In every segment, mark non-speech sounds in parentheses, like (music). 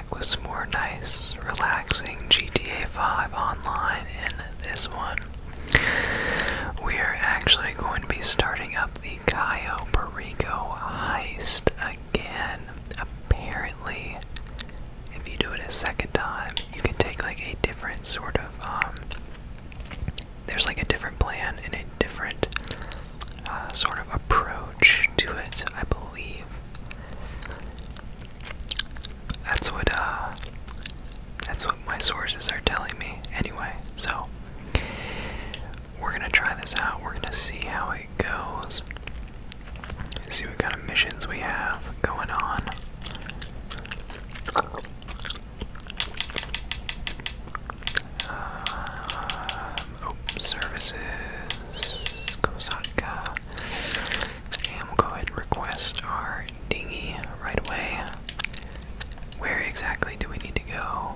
back with some more nice, relaxing GTA 5 online in this one. We are actually going to be starting up the Cayo Perico heist again. Apparently, if you do it a second time, you can take like a different sort of, um, there's like a different plan and a different uh, sort of approach to it, I believe. That's what uh that's what my sources are telling me anyway. So we're gonna try this out. We're gonna see how it goes. See what kind of missions we have going on. Uh, oh, services, Kosaka. And we'll go ahead and request our dinghy right away. Where exactly do we need to go?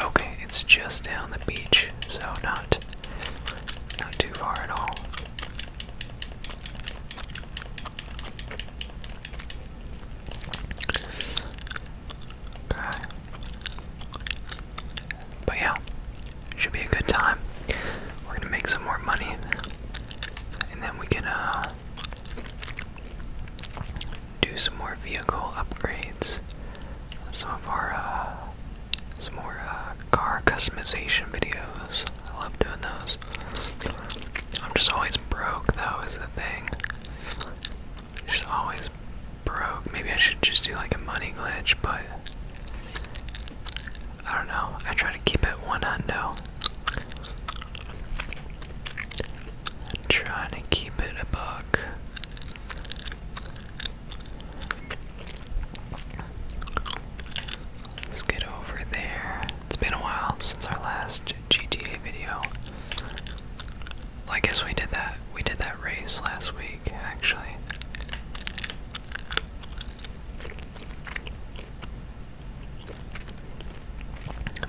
Okay, it's just down the beach, so not not too far at all. But yeah, should be a good time. We're gonna make some more money, and then we can uh, do some more vehicle upgrades. Some of our uh, some more uh, car customization videos. I love doing those. I'm just always broke, though, is the thing. Just always broke. Maybe I should just do like a money glitch, but I don't know. I try to keep it one hundo. i trying to keep it a buck. Let's get over there. It's been a while since our last GTA video. I guess we did that. We did that race last week actually.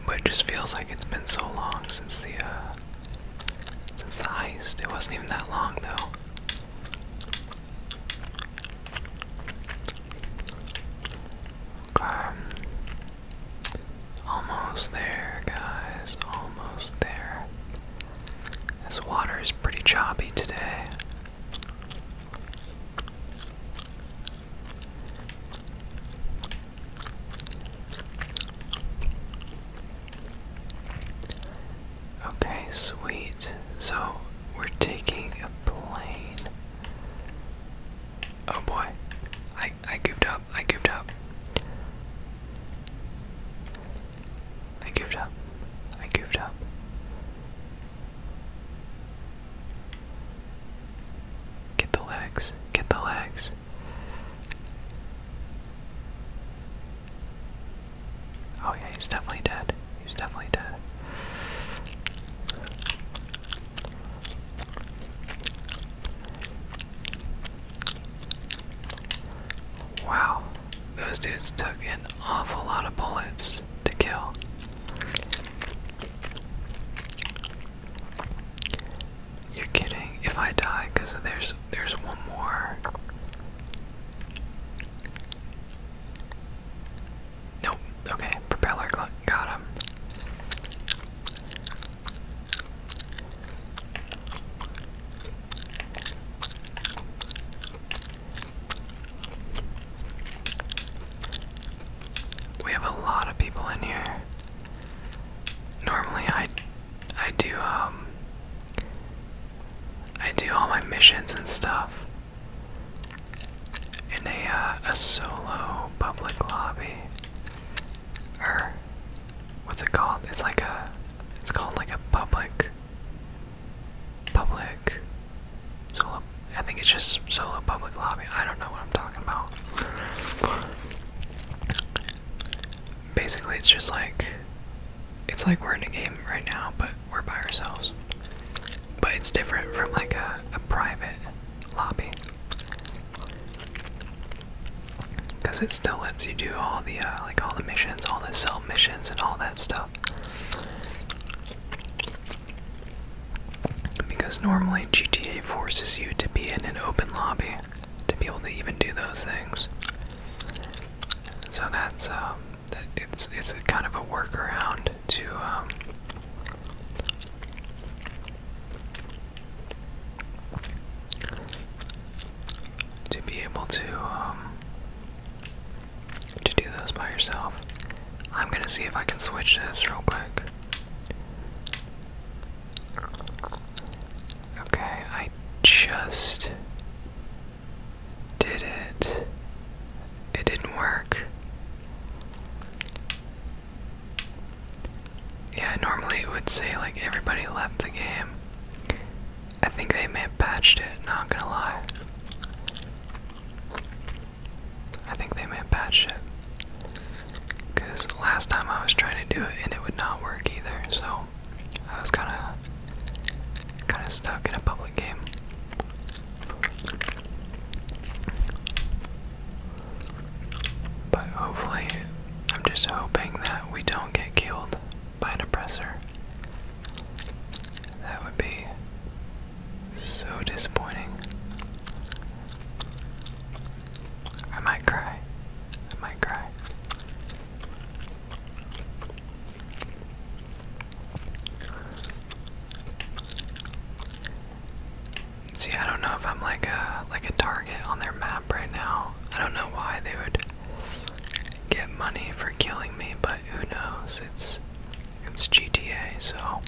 But it just feels like it's been so long since the uh since the heist. It wasn't even that long though. Okay. Almost there, guys. Almost there. This water is pretty choppy today. Okay, sweet. So we're taking a plane. Oh boy. I I goofed up. I goofed up. I goofed up. I goofed up. Get the legs. Get the legs. Oh, yeah, he's definitely dead. He's definitely dead. Wow. Those dudes took an awful lot of bullets to kill. You're kidding. If I die, because there's there's one more. Nope. Okay. Propeller got him. We have a lot of people in here. Normally I I do um I do all my missions and stuff in a uh, a solo public lobby. Or what's it called? It's like a it's called like a public public solo I think it's just solo public lobby. I don't know what I'm talking about. Basically it's just like it's like we're in a game right now, but we're by ourselves. But it's different from like a, a private lobby. Because it still lets you do all the uh, like all the missions, all the self missions and all that stuff. Because normally GTA forces you to be in an open lobby to be able to even do those things. So that's um, it's it's kind of a workaround to um, to be able to um, to do those by yourself. I'm gonna see if I can switch this real quick. Okay, I just did it. It didn't work. Yeah, normally it would say like everybody left the game. I think they may have patched it, not gonna lie. I think they may have patched it. Because last time I was trying to do it and it would not work either, so I was kinda kinda stuck in a public game. But hopefully, I'm just hoping that we don't get killed by an oppressor. That would be so disappointing. I might cry. I might cry. See, I don't know if I'm like a like a target on their map right now. I don't know why they would get money for killing me, but who knows? It's it's GTA, so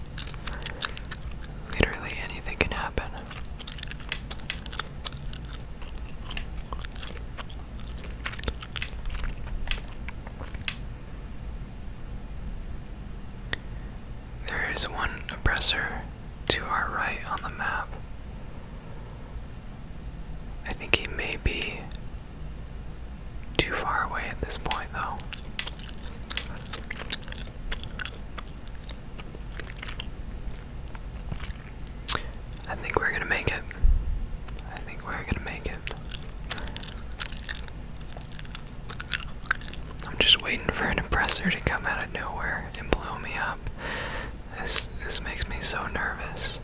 literally anything can happen. There is one oppressor to our right on the map. I think he may be too far away at this point, though. I think we're gonna make it. I think we're gonna make it. I'm just waiting for an oppressor to come out of nowhere and blow me up this this makes me so nervous.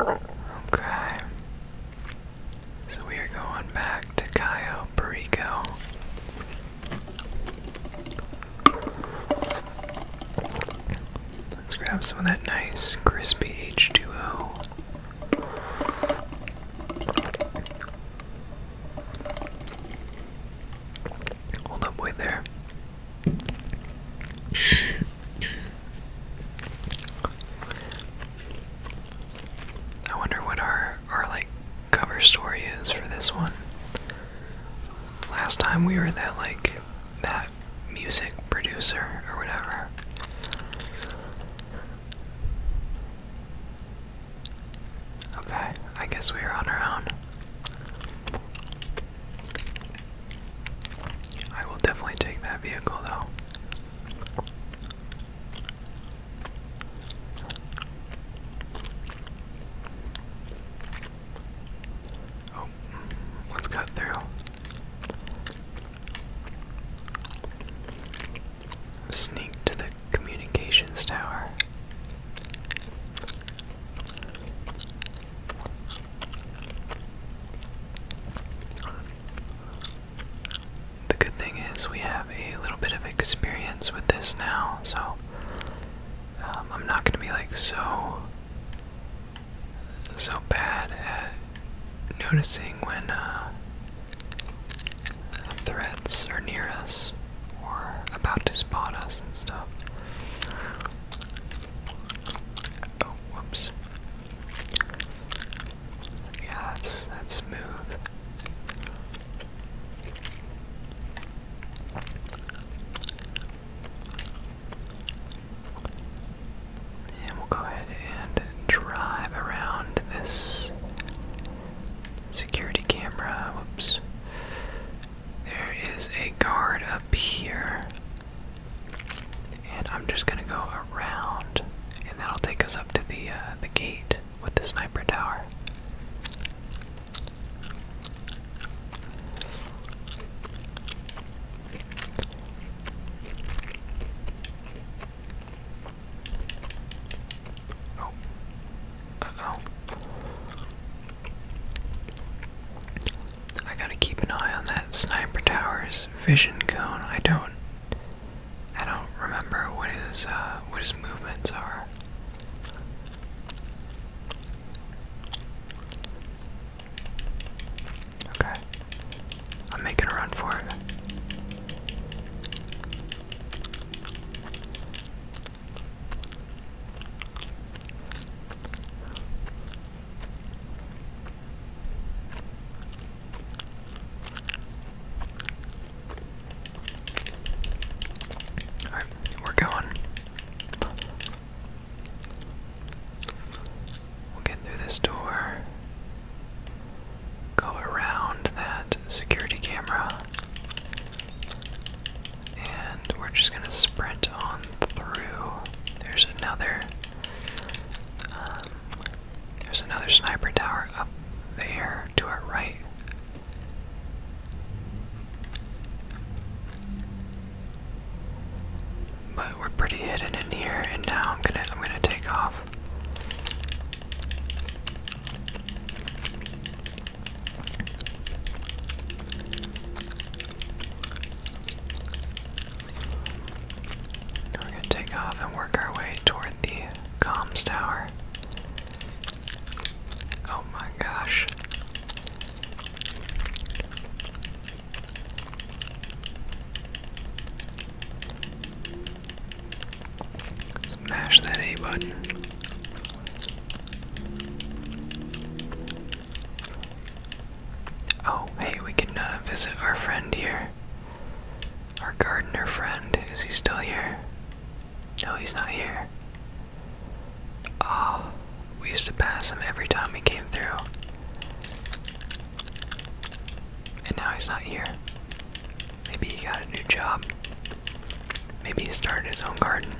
Okay. So we are going back to Cayo Perico. Let's grab some of that nice crispy H2O. Hold up, wait there. I wonder what our our like cover story is for this one. Last time we were that like that music producer or whatever. Okay, I guess we are on our own. I will definitely take that vehicle though. Oh, let's cut through. Sneak to the communications tower. The good thing is, we have a little bit of experience with this now, so um, I'm not gonna be like so so bad at noticing when uh, threats are near us or about to spot us and stuff. Oh, whoops. Yeah, that's that's smooth. And we'll go ahead and drive around this security camera. Whoops. There is a guard up here. And I'm just gonna go around, and that'll take us up to the uh, the gate with the sniper tower. Oh. I gotta keep an eye on that sniper tower's vision cone. I don't I don't remember what his uh, what his movements are. Okay, I'm making a run for it. Alright, we're going. We'll get through this door. Go around that security camera. And we're just gonna sprint on through. There's another. Um, there's another sniper tower up there to our right. But we're pretty hidden in here, and now I'm gonna I'm gonna take off. We're gonna take off and work our way toward the comms tower. Oh my gosh. Smash that A button. Oh, hey, we can uh, visit our friend here. Our gardener friend, is he still here? No, he's not here. Ah, we used to pass him every time he came through. And now he's not here. Maybe he got a new job. Maybe he started his own garden.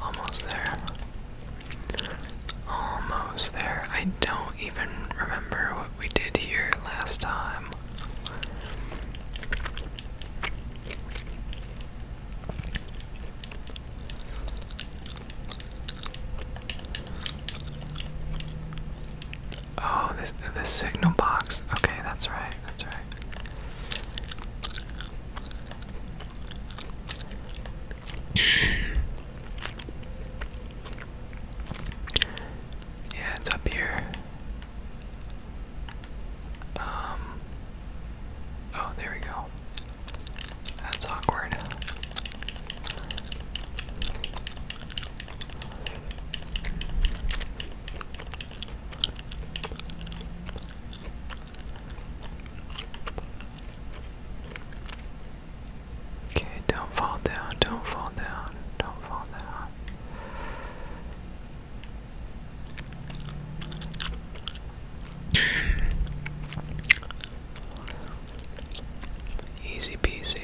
Almost there. Almost there. I don't even remember what we did here last time. Oh, this the signal box. Okay, that's right. That's right. yeah, it's up here. Um. Oh, there we go. That's awkward. Okay, don't fall down, don't fall down, don't fall down. Easy peasy.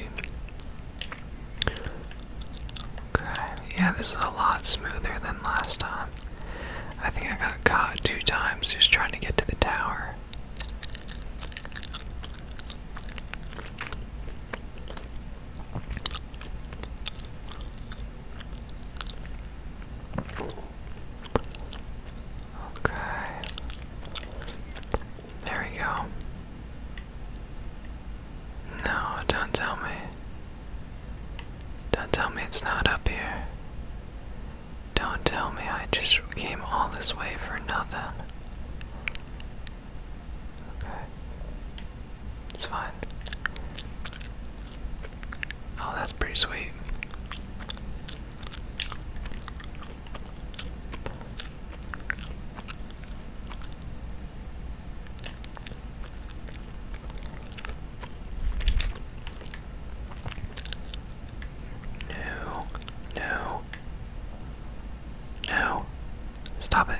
Okay, yeah, this is a lot smoother than last time. I think I got caught two times just trying to get to the tower. Okay. There we go. No, don't tell me. Don't tell me it's not up here. Don't tell me I just came all this way for nothing. Okay. It's fine. Oh, that's pretty sweet. No, no, no, stop it.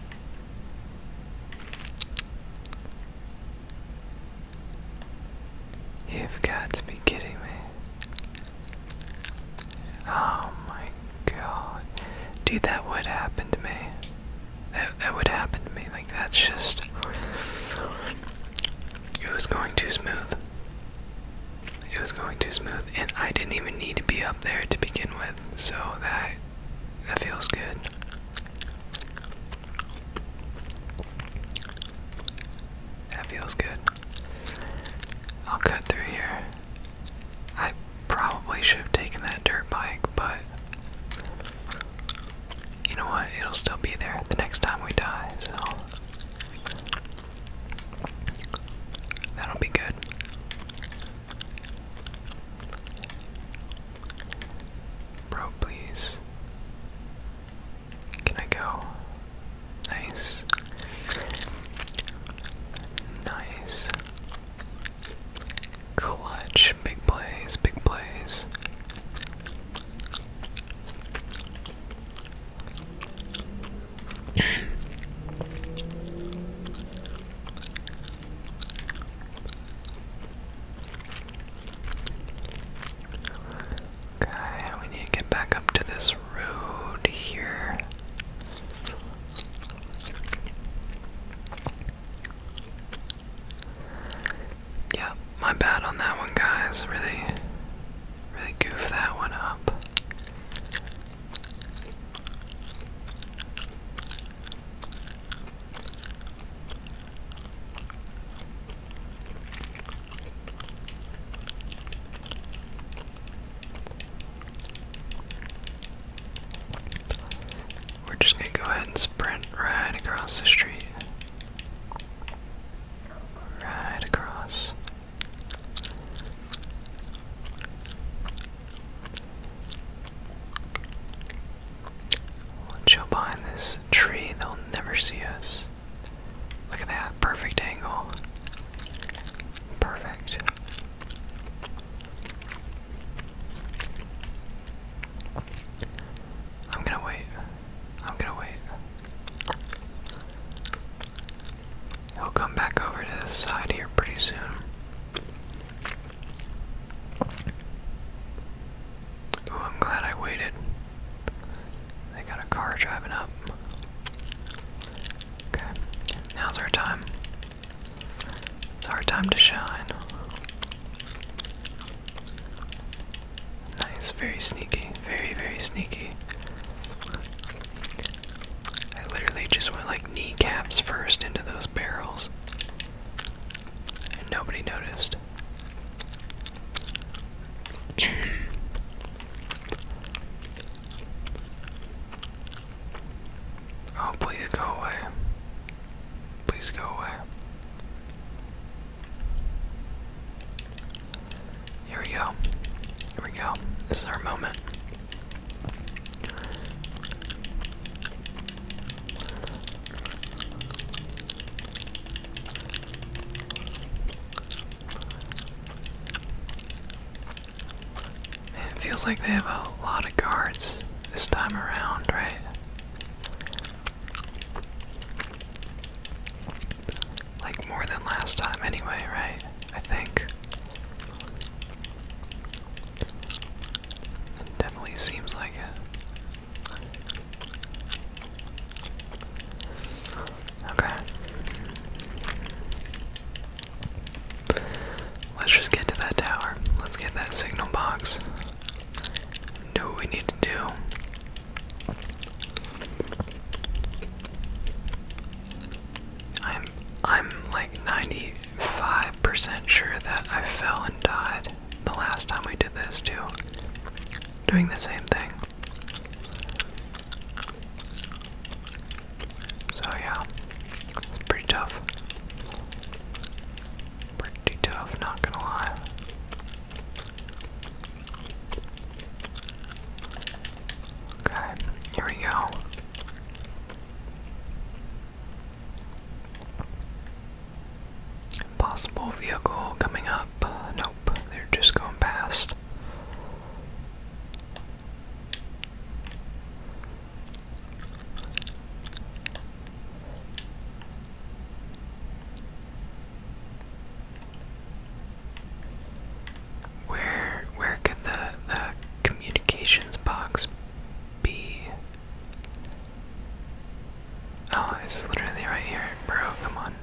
You've got to be kidding me. Oh my god. Dude, that would happen to me. That, that would happen to me. Like, that's just. It was going too smooth. It was going too smooth, and I didn't even need to be up there to begin with, so that that feels good. That feels good. I'll cut through here. I probably should have taken that dirt bike, but you know what? It'll still be there the next time we die, so that'll be good. Bro, please. Can I go? Nice. Nice. Clutch. Big plays, big plays. Okay, we need to get back up to this road here. Yeah, my bad on that one, guys. Really, really goof that one up. We're just going to go ahead and sprint right across the street. Right across. Let's show behind this tree, they'll never see us. Look at that, perfect angle. Perfect. I'm gonna wait. I'm gonna wait. He'll come back over to the side here pretty soon. Ooh, I'm glad I waited. They got a car driving up. Okay, now's our time. It's our time to shine. Nice, very sneaky, very, very sneaky. I literally just went like kneecaps first into those barrels. And nobody noticed. (clears throat) oh, please go away. Please go away. Here we go. Here we go. This is our moment. it feels like they have a lot of cards this time around, right? Like more than last time, anyway, right? I think. definitely seems like it. Okay. Let's just get to that tower. Let's get that signal box. Do what we need to do. I'm I'm like 95% sure that I fell and died the last time we did this too. Doing the same thing. So yeah, it's pretty tough. Pretty tough, not gonna lie. Okay, here we go. Possible vehicle coming up. Nope, they're just going past. Where where could the the communications box be? Oh, it's literally right here, bro. Come on.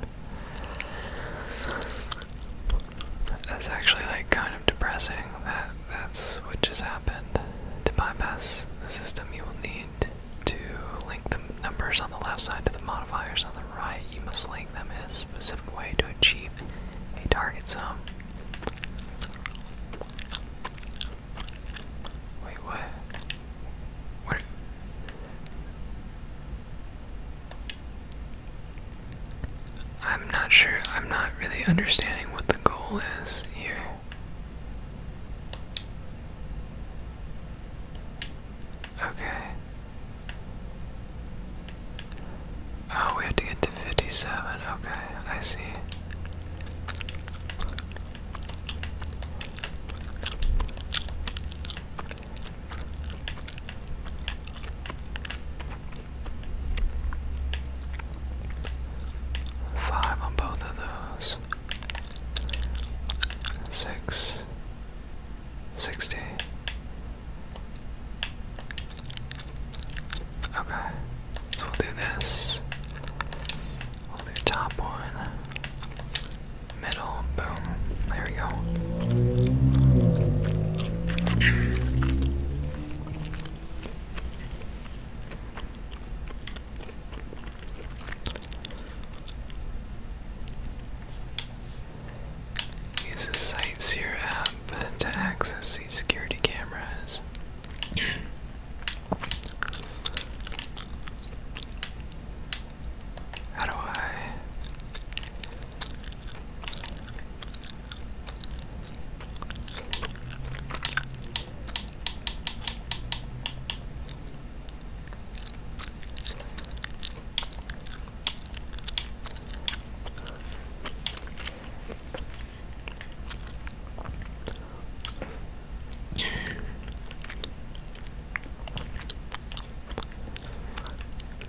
That's actually like kind of depressing. That that's what just happened. To bypass the system, you will need to link the numbers on the left side to the modifiers on the right. You must link them in a specific way to achieve a target sum. Wait, what? What? I'm not sure. I'm not really understanding what the goal is here. Okay. Oh, we have to get to 57. Okay, I see. Five on both of those. Six. 60. Okay, so we'll do this. We'll do top one, middle, boom. There we go. Use the Sightseer app to access these security cameras. How do I?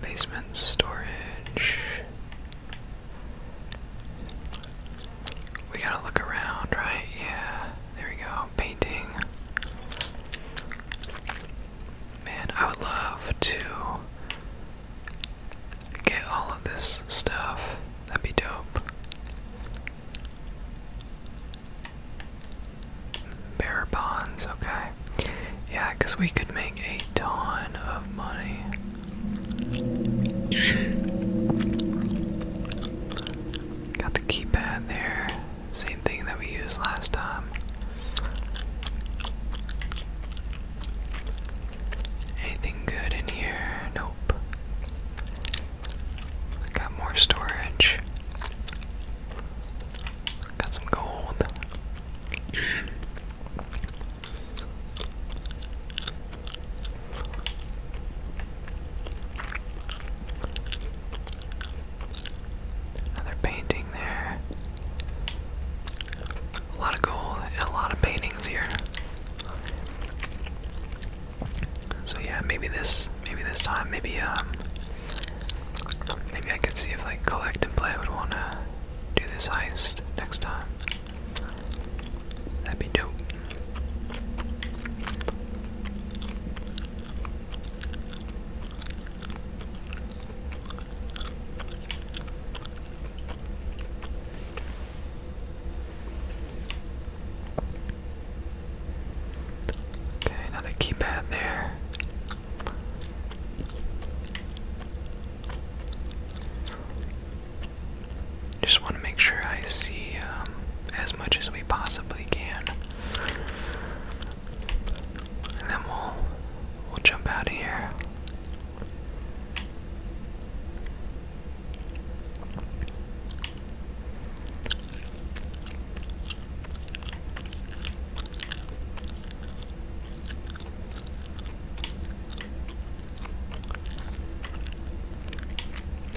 Basement storage. We gotta look around, right? Yeah. There we go. Painting. Man, I would love to get all of this stuff. That'd be dope. Bearer bonds, okay. Yeah, because we could make a ton of money. Got the keypad there. Same thing that we used last time. Anything good in here? Nope. Got more storage. Got some gold. Another painting there. A lot of gold and a lot of paintings here. So yeah, maybe this, maybe this time, maybe um, maybe I could see if like collect play would wanna do this heist next time. That'd be dope. Okay, another keypad there. Just want to make sure I see um, as much as we possibly can then we'll we'll jump out of here.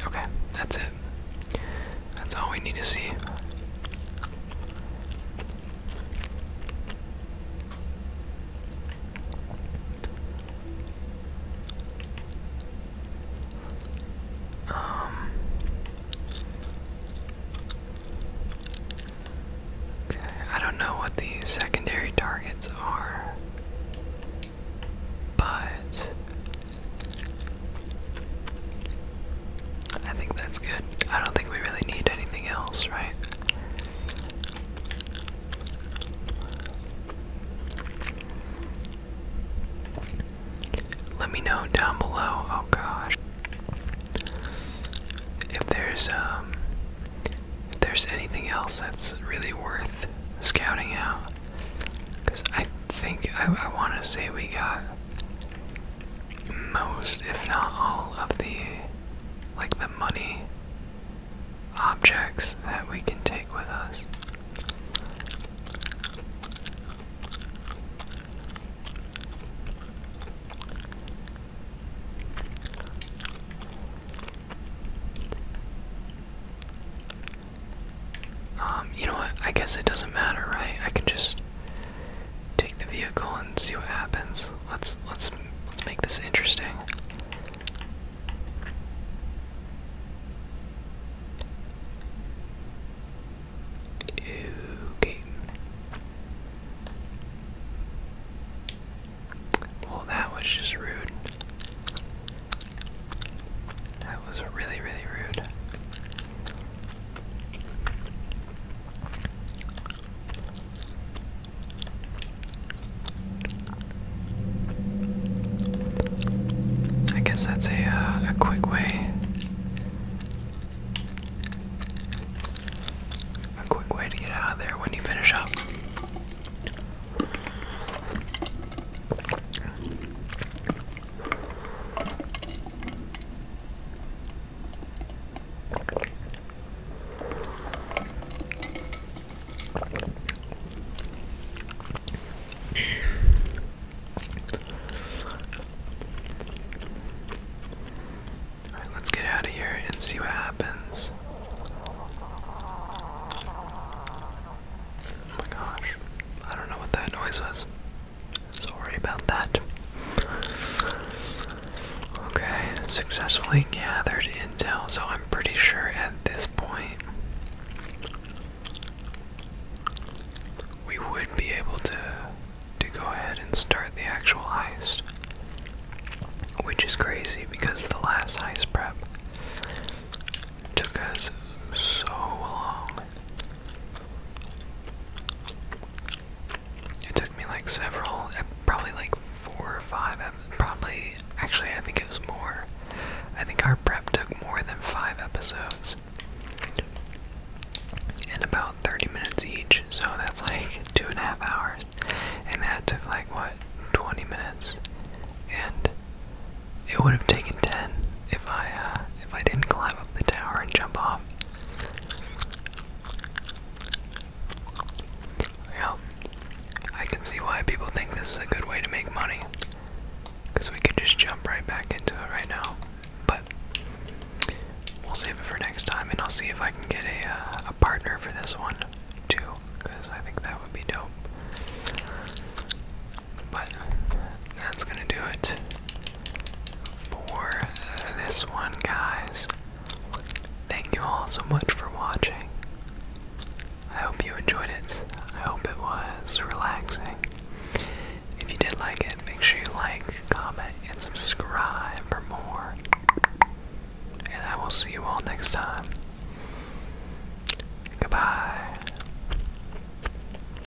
Okay, that's it. That's all we need to see. Um Okay, I don't know what the secondary targets are, but I think that's good. I don't think we really need anything else, right? Let me know down below. Oh gosh. If there's um if there's anything else that's really worth scouting out cuz I think I want to say we got most, if not all, of the like the money objects that we can take with us. Um, you know what? I guess it doesn't matter, right? I can just take the vehicle and see what happens. Let's let's let's make this interesting. Okay. Well, that was just rude. That was really, really rude. I guess that's a uh, a quick way, a quick way to get out of there when you finish up let's get out of here and see what happens. Oh my gosh. I don't know what that noise was. Sorry about that. Okay, successfully gathered intel, so I'm pretty sure at this point we would be able to to go ahead and start the actual heist. Which is crazy because the last heist prep took us so long. It took me like several, uh, probably like four or five, probably, actually, I think it was more. I think our prep took more than five episodes and about 30 minutes each, so that's like two and a half hours. And that took like what 20 minutes, and it would have taken 10 if I uh, if I didn't climb up the tower and jump off. Yeah, I can see why people think this is a good way to make money, because we could just jump right back into it right now. But we'll save it for next time, and I'll see if I can get a uh, a partner for this one too, because I think that would be dope. But that's gonna do it for this one, guys. Thank you all so much for watching. I hope you enjoyed it. I hope it was relaxing. If you did like it, make sure you like, comment, and subscribe for more. And I will see you all next time. Goodbye.